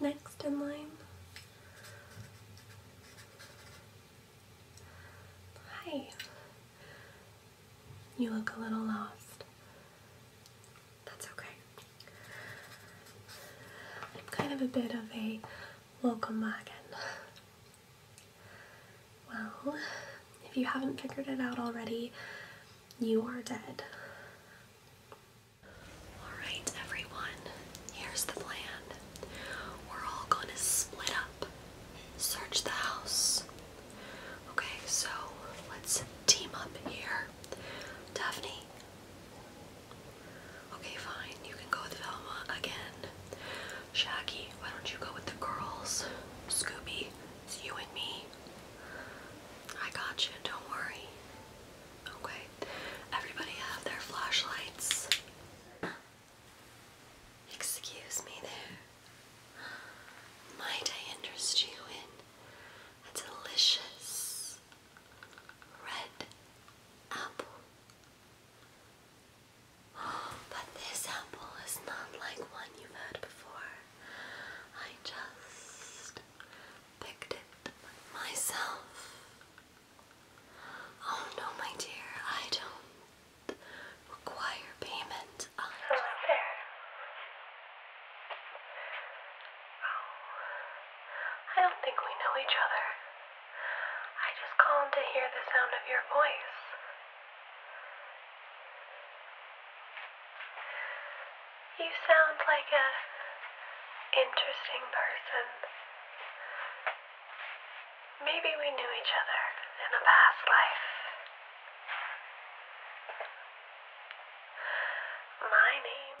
Next in line. Hi. You look a little lost. That's okay. I'm kind of a bit of a local magan. Well, if you haven't figured it out already, you are dead. Alright, everyone, here's the plan. We're all gonna split up, search the house. Okay, so let's team up here. Daphne. Okay, fine, you can go with Velma again. Shaggy, why don't you go with the girls? Scooby, it's you and me. I got you, don't worry. Okay. Everybody have their flashlights. Excuse me there. Might I interest you in a delicious red apple? But this apple is not like one you've had before. I just picked it myself. Oh no, my dear, I don't require payment. I Hello oh, I don't think we know each other. I just called to hear the sound of your voice. You sound like a interesting person. Maybe we knew each other in a past life. My name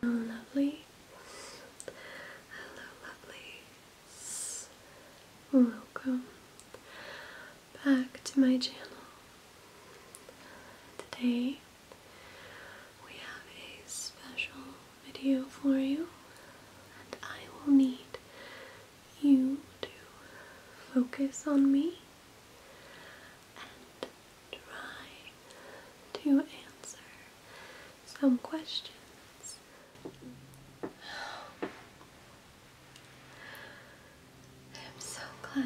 Hello, oh, lovely. Hello, lovely. Welcome back to my channel. Today we have a special video for you, and I will need you to focus on me and try to answer some questions. I'm so glad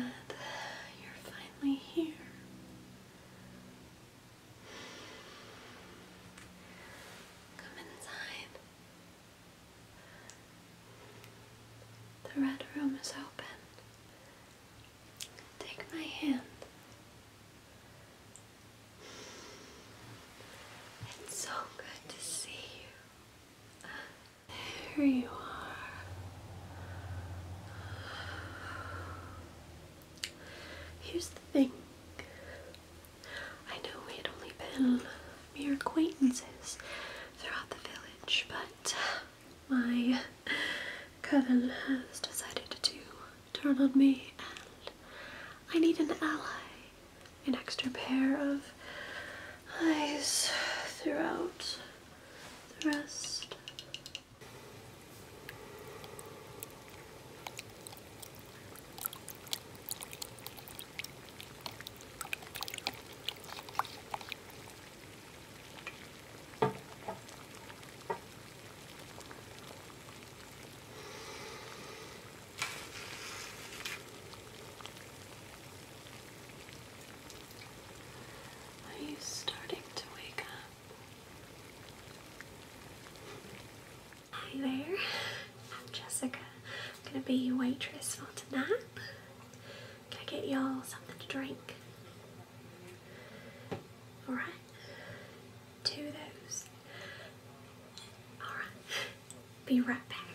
you're finally here. Come inside. The red room is open. Take my hand. It's so good to see you. There you are. Here's the thing. I know we had only been mere acquaintances throughout the village, but my cousin has decided to turn on me and I need an ally, an extra pair of eyes throughout the rest. Are you starting to wake up? Hi there, I'm Jessica. I'm gonna be your waitress for tonight. Gonna get y'all something to drink? Alright. Two of those. Alright. Be right back.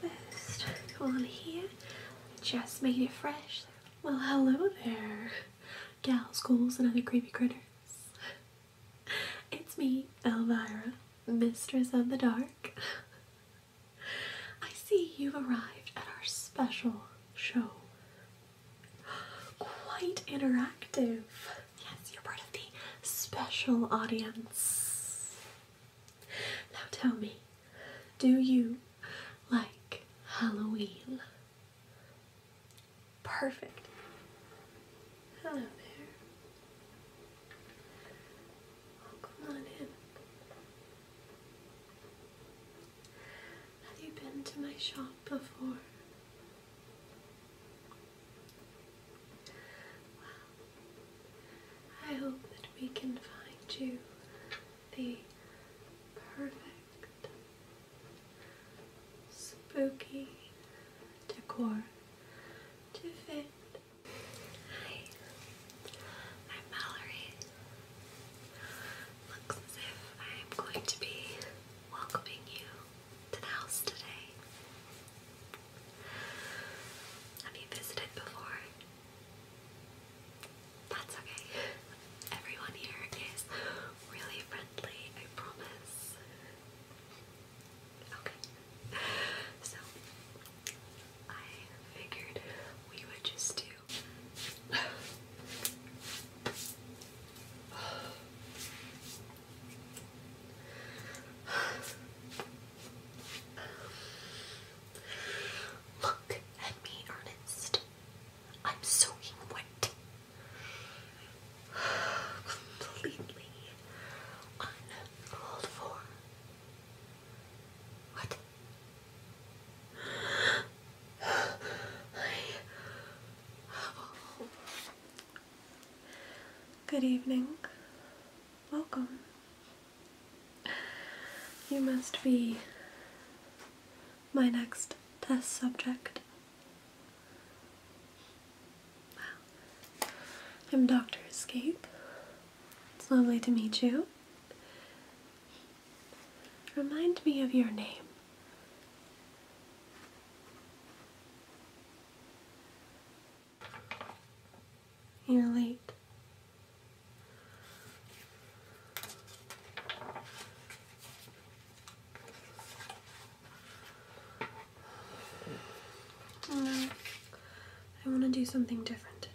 First, on here. Just made it fresh. Well, hello there, gals, ghouls, and other creepy critters. It's me, Elvira, mistress of the dark. I see you've arrived at our special show. Quite interactive. Yes, you're part of the special audience. Now tell me, do you like Halloween? Perfect. Hello there. Oh, come on in. Have you been to my shop before? I hope that we can find you the perfect spooky decor to fit. Hi, I'm Mallory. Looks as if I am going to be welcoming you to the house today. Have you visited before? that's okay. Everyone here is really friendly, I promise. Okay. So I figured we would just do Look at me, Ernest. I'm soaking wet. Completely uncalled What? Good evening. Welcome. You must be my next test subject. Wow. I'm Dr. Escape. It's lovely to meet you. Remind me of your name. You're late. Mm. I want to do something different today.